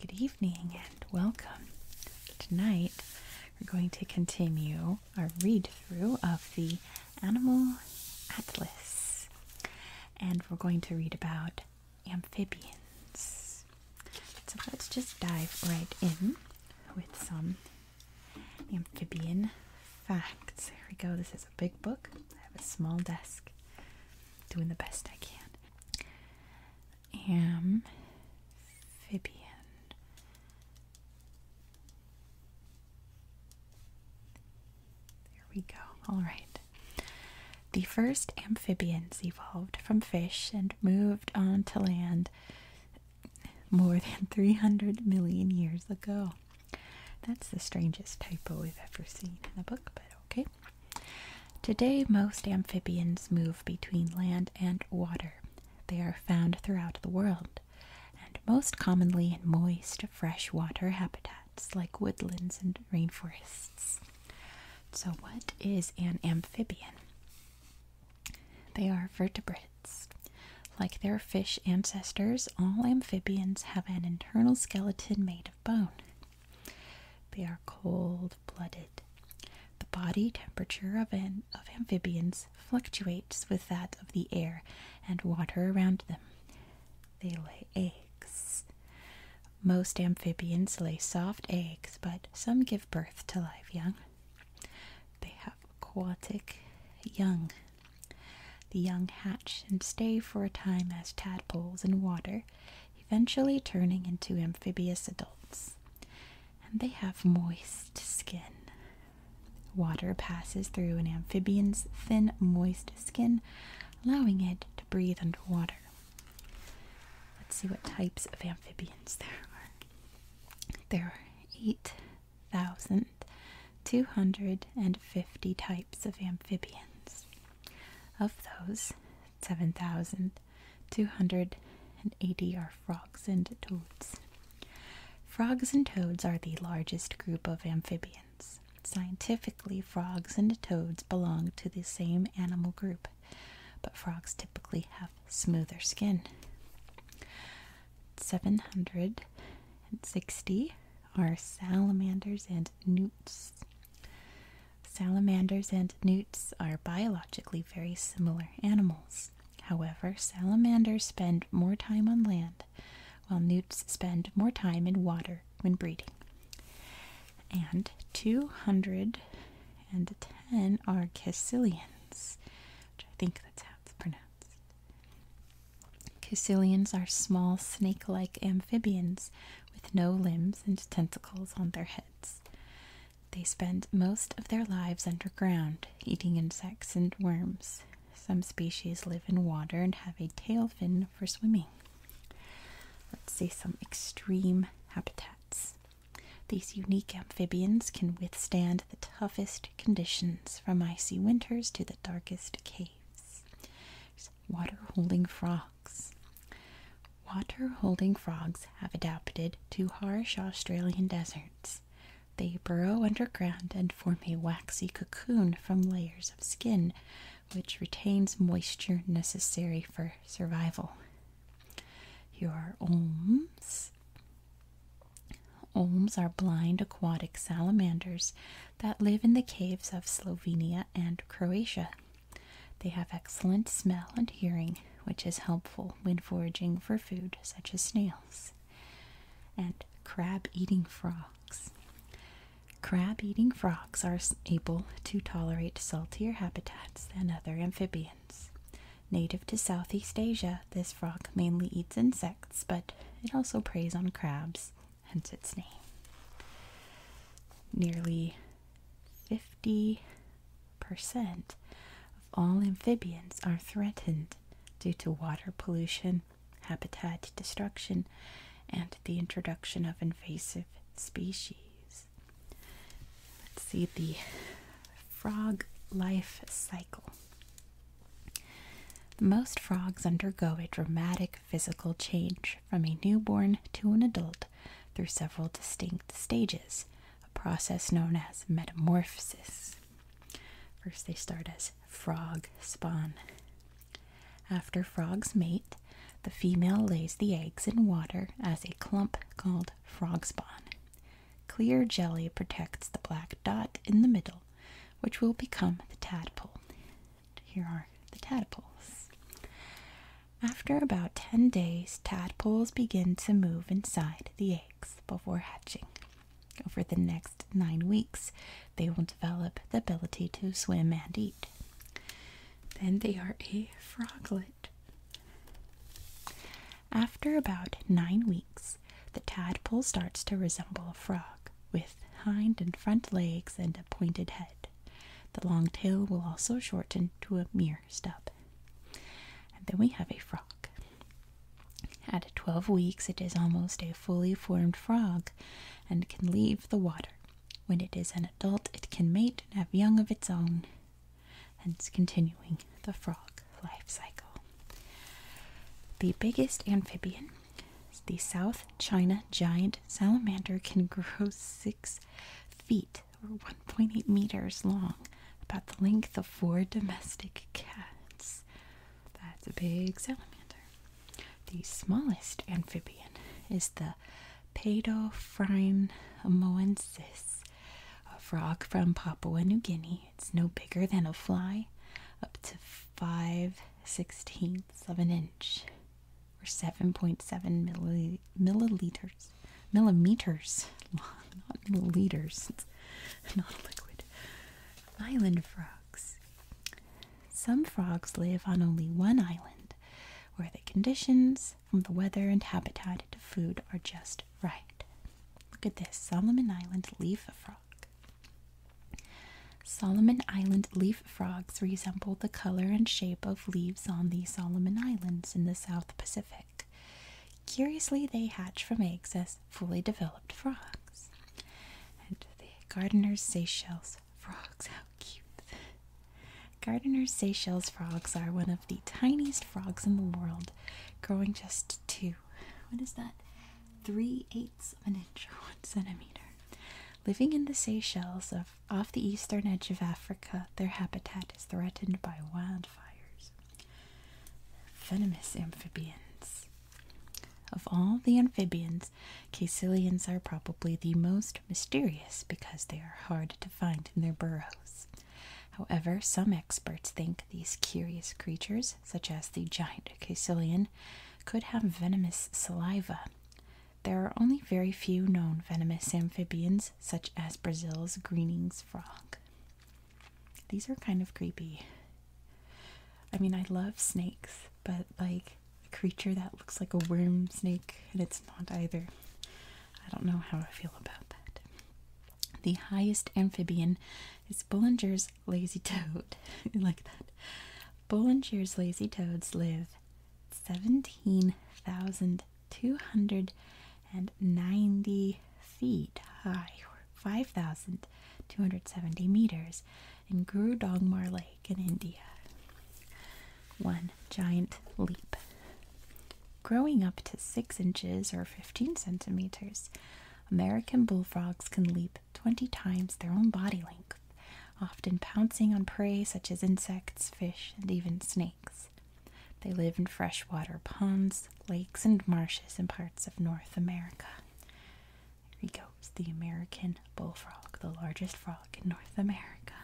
Good evening and welcome. Tonight we're going to continue our read through of the Animal Atlas and we're going to read about amphibians. So let's just dive right in with some Amphibian Facts. Here we go. This is a big book. I have a small desk. Doing the best I can. Amphibian. There we go. All right. The first amphibians evolved from fish and moved on to land more than 300 million years ago. That's the strangest typo we've ever seen in a book, but okay. Today, most amphibians move between land and water. They are found throughout the world, and most commonly in moist, fresh water habitats like woodlands and rainforests. So, what is an amphibian? They are vertebrates. Like their fish ancestors, all amphibians have an internal skeleton made of bone. They are cold blooded. The body temperature of, amphibians fluctuates with that of the air and water around them. They lay eggs. Most amphibians lay soft eggs, but some give birth to live young. They have aquatic young. The young hatch and stay for a time as tadpoles in water, eventually turning into amphibious adults. And they have moist skin. Water passes through an amphibian's thin, moist skin, allowing it to breathe underwater. Let's see what types of amphibians there are. There are eight thousand two hundred and fifty types of amphibians. Of those, seven thousand two hundred and eighty are frogs and toads. Frogs and toads are the largest group of amphibians. Scientifically, frogs and toads belong to the same animal group, but frogs typically have smoother skin. 760 are salamanders and newts. Salamanders and newts are biologically very similar animals. However, salamanders spend more time on land, while newts spend more time in water when breeding. And 210 are caecilians, which I think that's how it's pronounced. Cusillians are small snake like amphibians with no limbs and tentacles on their heads. They spend most of their lives underground, eating insects and worms. Some species live in water and have a tail fin for swimming. Let's see some extreme habitats. These unique amphibians can withstand the toughest conditions, from icy winters to the darkest caves. Water holding frogs. Water holding frogs have adapted to harsh Australian deserts. They burrow underground and form a waxy cocoon from layers of skin, which retains moisture necessary for survival. Your olms Olms are blind aquatic salamanders that live in the caves of Slovenia and Croatia. They have excellent smell and hearing, which is helpful when foraging for food such as snails. And crab eating frogs. Crab eating frogs are able to tolerate saltier habitats than other amphibians. Native to Southeast Asia, this frog mainly eats insects, but it also preys on crabs, hence its name. Nearly 50% of all amphibians are threatened due to water pollution, habitat destruction, and the introduction of invasive species. Let's see the frog life cycle. Most frogs undergo a dramatic physical change from a newborn to an adult through several distinct stages, a process known as metamorphosis. First, they start as frog spawn. After frogs mate, the female lays the eggs in water as a clump called frog spawn. Clear jelly protects the black dot in the middle, which will become the tadpole. here are the tadpoles. After about 10 days, tadpoles begin to move inside the eggs before hatching. Over the next nine weeks, they will develop the ability to swim and eat. Then they are a froglet. After about nine weeks, the tadpole starts to resemble a frog with hind and front legs and a pointed head. The long tail will also shorten to a mere stub. And then we have a frog. At 12 weeks, it is almost a fully formed frog and can leave the water. When it is an adult, it can mate and have young of its own, hence continuing the frog life cycle. The biggest amphibian, the South China giant salamander, can grow six feet or 1.8 meters long, about the length of four domestic cats. That's a big salamander. The smallest amphibian is the Paedophryne amoensis, a frog from Papua New Guinea it's no bigger than a fly, up to 5 sixteenths of an inch, or 7.7 milliliters, millimeters long, not milliliters, it's not a liquid. Island frogs. Some frogs live on only one island where the conditions from the weather and habitat to food are just right. Look at this Solomon Island leaf frog. Solomon Island leaf frogs resemble the color and shape of leaves on the Solomon Islands in the South Pacific. Curiously, they hatch from eggs as fully developed frogs. And the gardeners' Seychelles frogs, how cute! Gardeners' Seychelles frogs are one of the tiniest frogs in the world, growing just 2 what is that? Three eighths of an inch or one centimeter. Living in the Seychelles of off the eastern edge of Africa, their habitat is threatened by wildfires. Venomous amphibians. Of all the amphibians, caecilians are probably the most mysterious because they are hard to find in their burrows. However, some experts think these curious creatures such as the giant caecilian, could have venomous saliva. There are only very few known venomous amphibians, such as Brazil's Greening's frog. These are kind of creepy. I mean, I love snakes, but like a creature that looks like a worm snake, and it's not either. I don't know how I feel about that. The highest amphibian is Bullinger's lazy toad. like that. Bollinshear's lazy toads live 17,290 feet high, or 5,270 meters, in Guru Dongmar Lake in India. One giant leap. Growing up to 6 inches or 15 centimeters, American bullfrogs can leap 20 times their own body length, often pouncing on prey such as insects, fish, and even snakes. They live in freshwater ponds, lakes, and marshes in parts of North America. Here he goes, the American bullfrog, the largest frog in North America.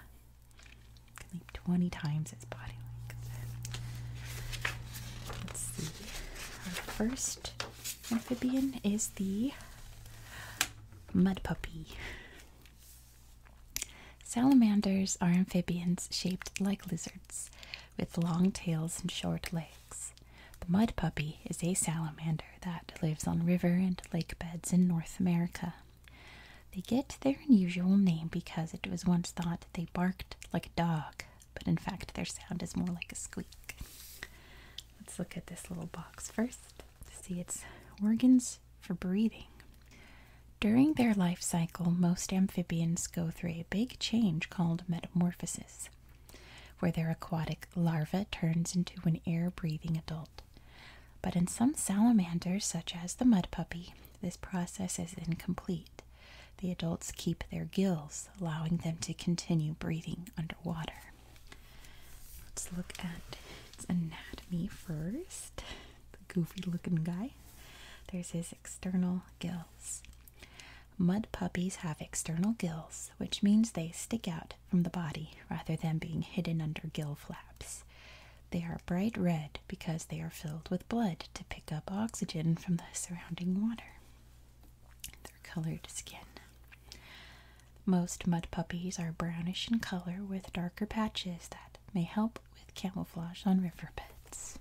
Can leap 20 times its body length. Our first amphibian is the mud puppy. Salamanders are amphibians shaped like lizards with long tails and short legs. The mud puppy is a salamander that lives on river and lake beds in North America. They get their unusual name because it was once thought they barked like a dog, but in fact their sound is more like a squeak. Let's look at this little box first to see its organs for breathing. During their life cycle, most amphibians go through a big change called metamorphosis, where their aquatic larva turns into an air breathing adult. But in some salamanders, such as the mud puppy, this process is incomplete. The adults keep their gills, allowing them to continue breathing underwater. Let's look at its anatomy first. The goofy looking guy. There's his external gills. Mud puppies have external gills, which means they stick out from the body rather than being hidden under gill flaps. They are bright red because they are filled with blood to pick up oxygen from the surrounding water their colored skin. Most mud puppies are brownish in color with darker patches that may help with camouflage on riverbeds.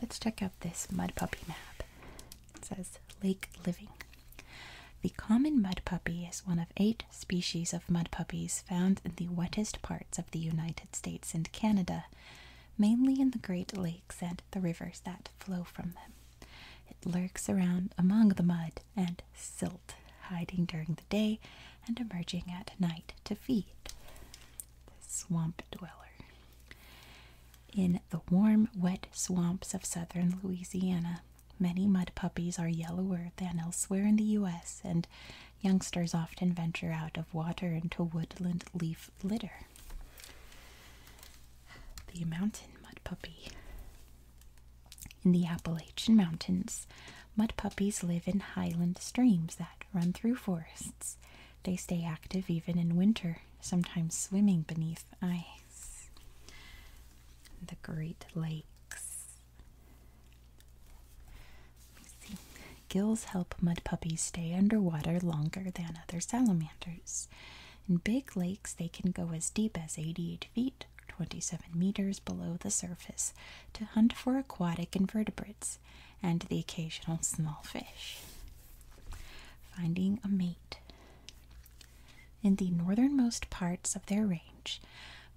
Let's check out this mud puppy map. It says Lake Living. The common mud puppy is one of eight species of mud puppies found in the wettest parts of the United States and Canada, mainly in the Great Lakes and the rivers that flow from them. It lurks around among the mud and silt, hiding during the day and emerging at night to feed. The swamp dweller. In the warm, wet swamps of southern Louisiana, many mud puppies are yellower than elsewhere in the U.S., and youngsters often venture out of water into woodland leaf litter. The mountain mud puppy. In the Appalachian Mountains, mud puppies live in highland streams that run through forests. They stay active even in winter, sometimes swimming beneath ice. The Great Lakes. Gills help mud puppies stay underwater longer than other salamanders. In big lakes, they can go as deep as 88 feet, 27 meters below the surface, to hunt for aquatic invertebrates and the occasional small fish. Finding a mate. In the northernmost parts of their range,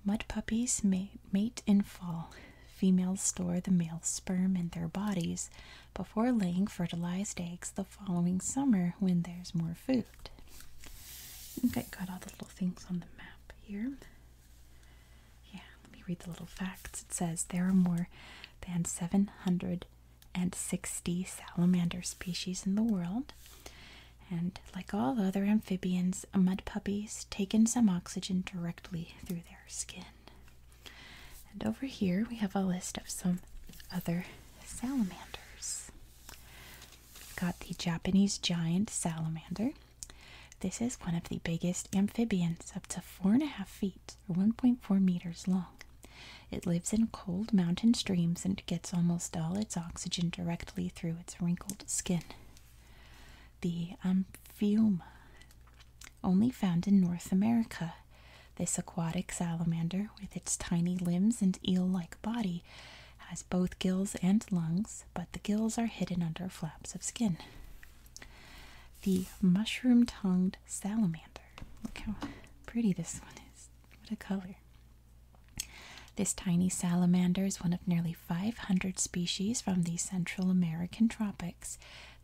mud puppies mate in fall. Females store the male sperm in their bodies before laying fertilized eggs the following summer when there's more food. I think I got all the little things on the map here. Yeah, let me read the little facts. It says there are more than 760 salamander species in the world. And like all other amphibians, mud puppies take in some oxygen directly through their skin. And over here we have a list of some other salamanders. got the Japanese giant salamander. This is one of the biggest amphibians, up to four and a half feet or 1.4 meters long. It lives in cold mountain streams and gets almost all its oxygen directly through its wrinkled skin. The amphiuma only found in North America. This aquatic salamander, with its tiny limbs and eel like body, has both gills and lungs, but the gills are hidden under flaps of skin. The mushroom tongued salamander. Look how pretty this one is. What a color. This tiny salamander is one of nearly 500 species from the Central American tropics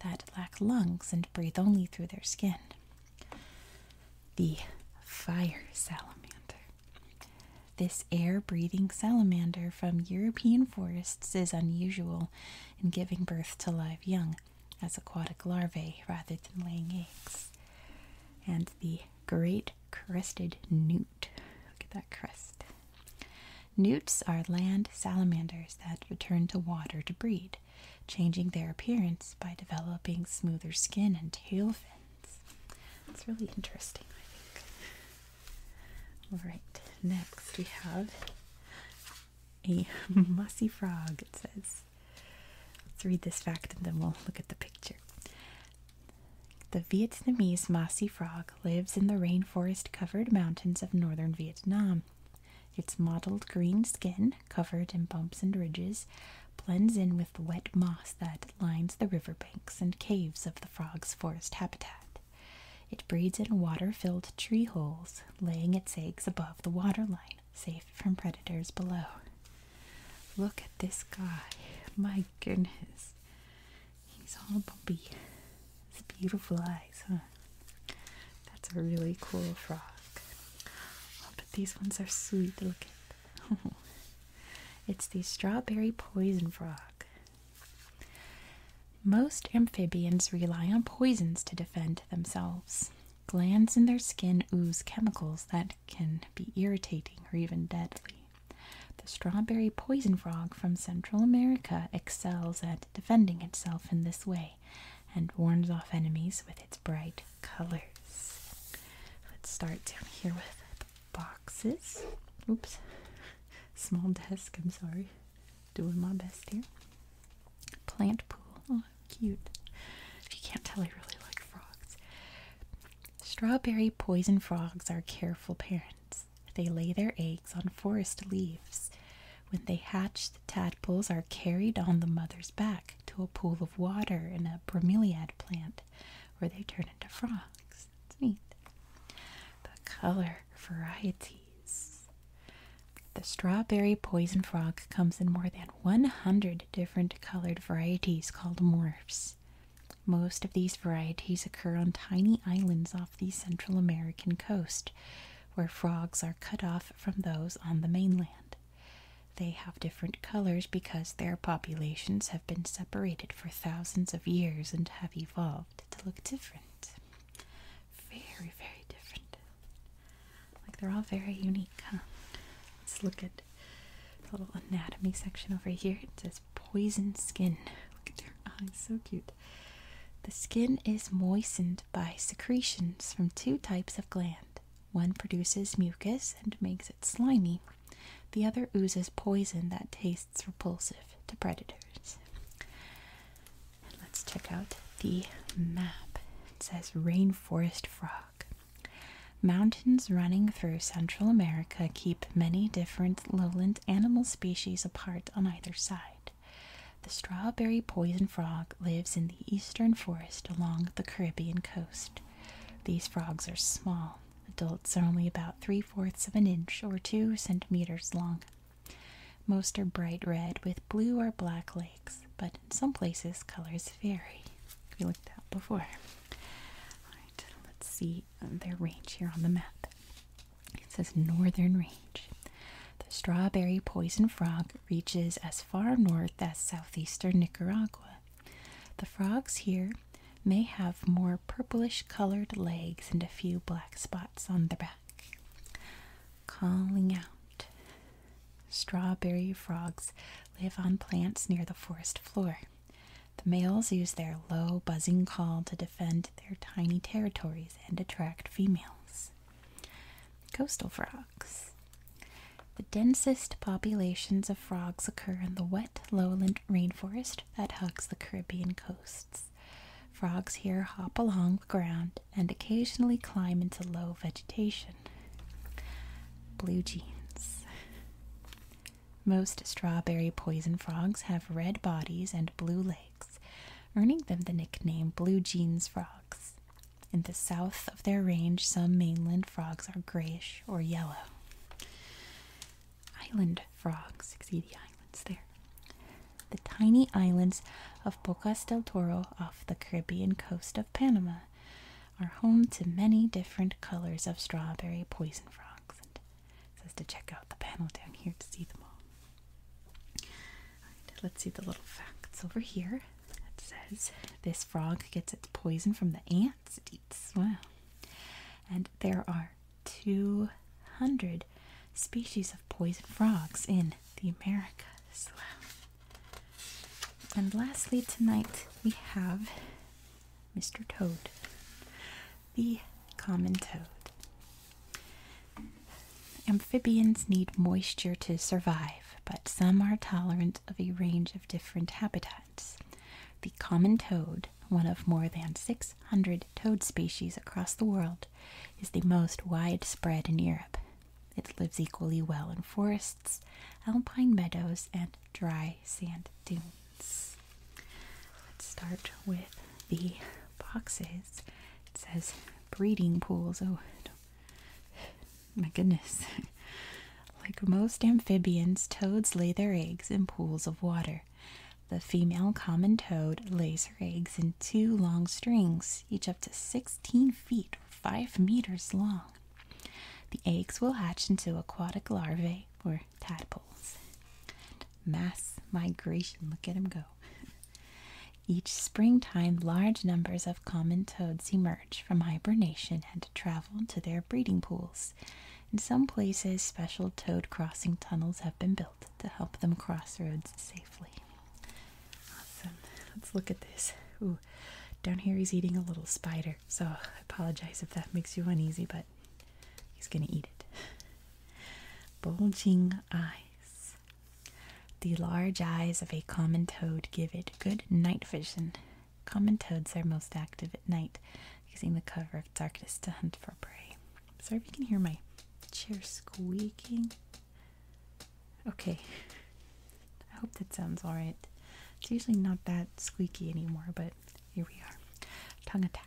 that lack lungs and breathe only through their skin. The fire salamander. This air breathing salamander from European forests is unusual in giving birth to live young as aquatic larvae rather than laying eggs. And the great crested newt. Look at that crest. Newts are land salamanders that return to water to breed changing their appearance by developing smoother skin and tail fins. It's really interesting, I think. Alright, next we have a mossy frog, it says. Let's read this fact and then we'll look at the picture. The Vietnamese mossy frog lives in the rainforest covered mountains of northern Vietnam. Its mottled green skin, covered in bumps and ridges, blends in with the wet moss that lines the riverbanks and caves of the frog's forest habitat. It breeds in water filled tree holes, laying its eggs above the waterline, safe from predators below. Look at this guy. My goodness. He's all bumpy. It's beautiful eyes. So That's a really cool frog. Oh, but these ones are sweet. looking it's the strawberry poison frog. Most amphibians rely on poisons to defend themselves. Glands in their skin ooze chemicals that can be irritating or even deadly. The strawberry poison frog from Central America excels at defending itself in this way and warns off enemies with its bright colors. Let's start down here with the boxes. Oops, small desk, I'm sorry. Doing my best here. Plant pool, oh, cute. If you can't tell, I really like frogs. Strawberry poison frogs are careful parents. They lay their eggs on forest leaves. When they hatch, Tadpoles are carried on the mother's back to a pool of water in a bromeliad plant where they turn into frogs. It's neat. The color varieties. The strawberry poison frog comes in more than 100 different colored varieties called morphs. Most of these varieties occur on tiny islands off the Central American coast, where frogs are cut off from those on the mainland. They have different colors because their populations have been separated for thousands of years and have evolved to look different. Very, very different. Like they're all very unique, Let's look at the little anatomy section over here. It says poison skin. Look at their eyes, so cute. The skin is moistened by secretions from two types of gland. One produces mucus and makes it slimy, the other oozes poison that tastes repulsive to predators. let's check out the map. It says rainforest frog. Mountains running through Central America keep many different lowland animal species apart on either side. The strawberry poison frog lives in the eastern forest along the Caribbean coast. These frogs are small. Adults are only about three fourths of an inch or two centimeters long. Most are bright red with blue or black legs, but in some places colors vary. We looked at before. Alright, let's see their range here on the map. It says Northern Range. The strawberry poison frog reaches as far north as southeastern Nicaragua. The frogs here may have more purplish colored legs and a few black spots on the back. Calling out. Strawberry frogs live on plants near the forest floor. The males use their low buzzing call to defend their tiny territories and attract females. Coastal frogs. The densest populations of frogs occur in the wet lowland rainforest that hugs the Caribbean coasts. Frogs here hop along the ground and occasionally climb into low vegetation. Blue jeans. Most strawberry poison frogs have red bodies and blue legs, earning them the nickname blue jeans frogs. In the south of their range, some mainland frogs are grayish or yellow. Island frogs, see the islands there. The tiny islands of Bocas del Toro off the Caribbean coast of Panama are home to many different colors of strawberry poison frogs. And says to check out the panel down here to see them all let's see the little facts over here. It says this frog gets its poison from the ants it eats. Wow. And there are 200 species of poison frogs in the Americas. Wow. And lastly, tonight we have Mr. Toad, the common toad. Amphibians need moisture to survive, but some are tolerant of a range of different habitats. The common toad, one of more than 600 toad species across the world, is the most widespread in Europe. It lives equally well in forests, alpine meadows, and dry sand dunes. Let's start with the boxes. It says breeding pools. Oh, My goodness. like most amphibians, toads lay their eggs in pools of water. The female common toad lays her eggs in two long strings, each up to 16 feet or 5 meters long. The eggs will hatch into aquatic larvae or tadpoles. Mass migration, look at them go. Each springtime, large numbers of common toads emerge from hibernation and travel to their breeding pools. In some places, special toad crossing tunnels have been built to help them cross roads safely. Awesome. Let's look at this. Ooh, down here he's eating a little spider, so I apologize if that makes you uneasy, but he's going to eat it. Bulging eyes. The large eyes of a common toad give it good night vision. Common toads are most active at night, using the cover of darkness to hunt for prey. Sorry if you can hear my chair squeaking. Okay, I hope that sounds alright. It's usually not that squeaky anymore, but here we are. Tongue attack.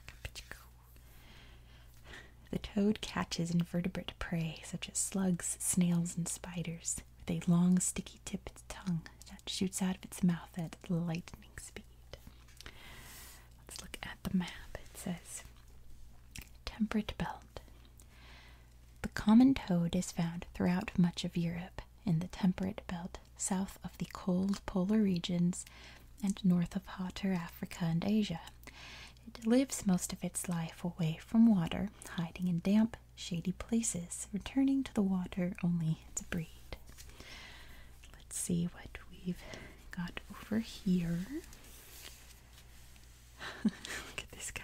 The toad catches invertebrate prey such as slugs, snails, and spiders, with a long, sticky tipped tongue that shoots out of its mouth at lightning speed. Let's look at the map. It says Temperate Belt. The common toad is found throughout much of Europe in the temperate belt south of the cold polar regions and north of hotter Africa and Asia. It lives most of its life away from water, hiding in damp, shady places, returning to the water only to breed. Let's see what we've got over here. Look at this guy.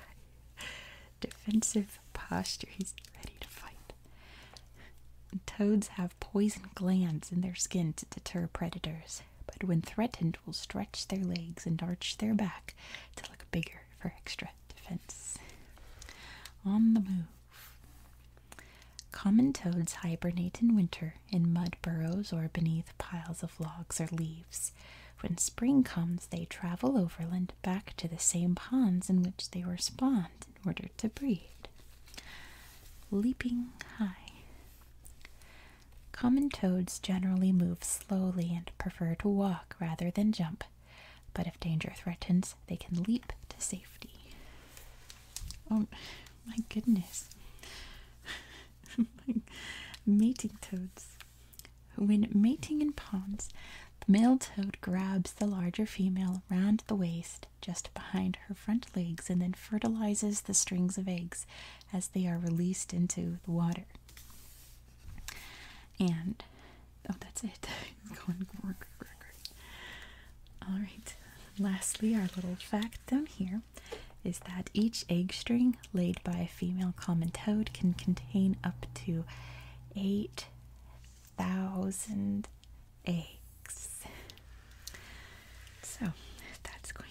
Defensive posture. He's ready to fight. Toads have poison glands in their skin to deter predators, but when threatened will stretch their legs and arch their back to look bigger for extra defense. On the move. Common toads hibernate in winter in mud burrows or beneath piles of logs or leaves. When spring comes, they travel overland back to the same ponds in which they were spawned in order to breed. Leaping high. Common toads generally move slowly and prefer to walk rather than jump, but if danger threatens, they can leap to safety. Oh my goodness. mating toads. When mating in ponds, the male toad grabs the larger female round the waist just behind her front legs and then fertilizes the strings of eggs as they are released into the water. And oh, that's it. All right. Lastly, our little fact down here is that each egg string laid by a female common toad can contain up to 8,000 eggs. So that's going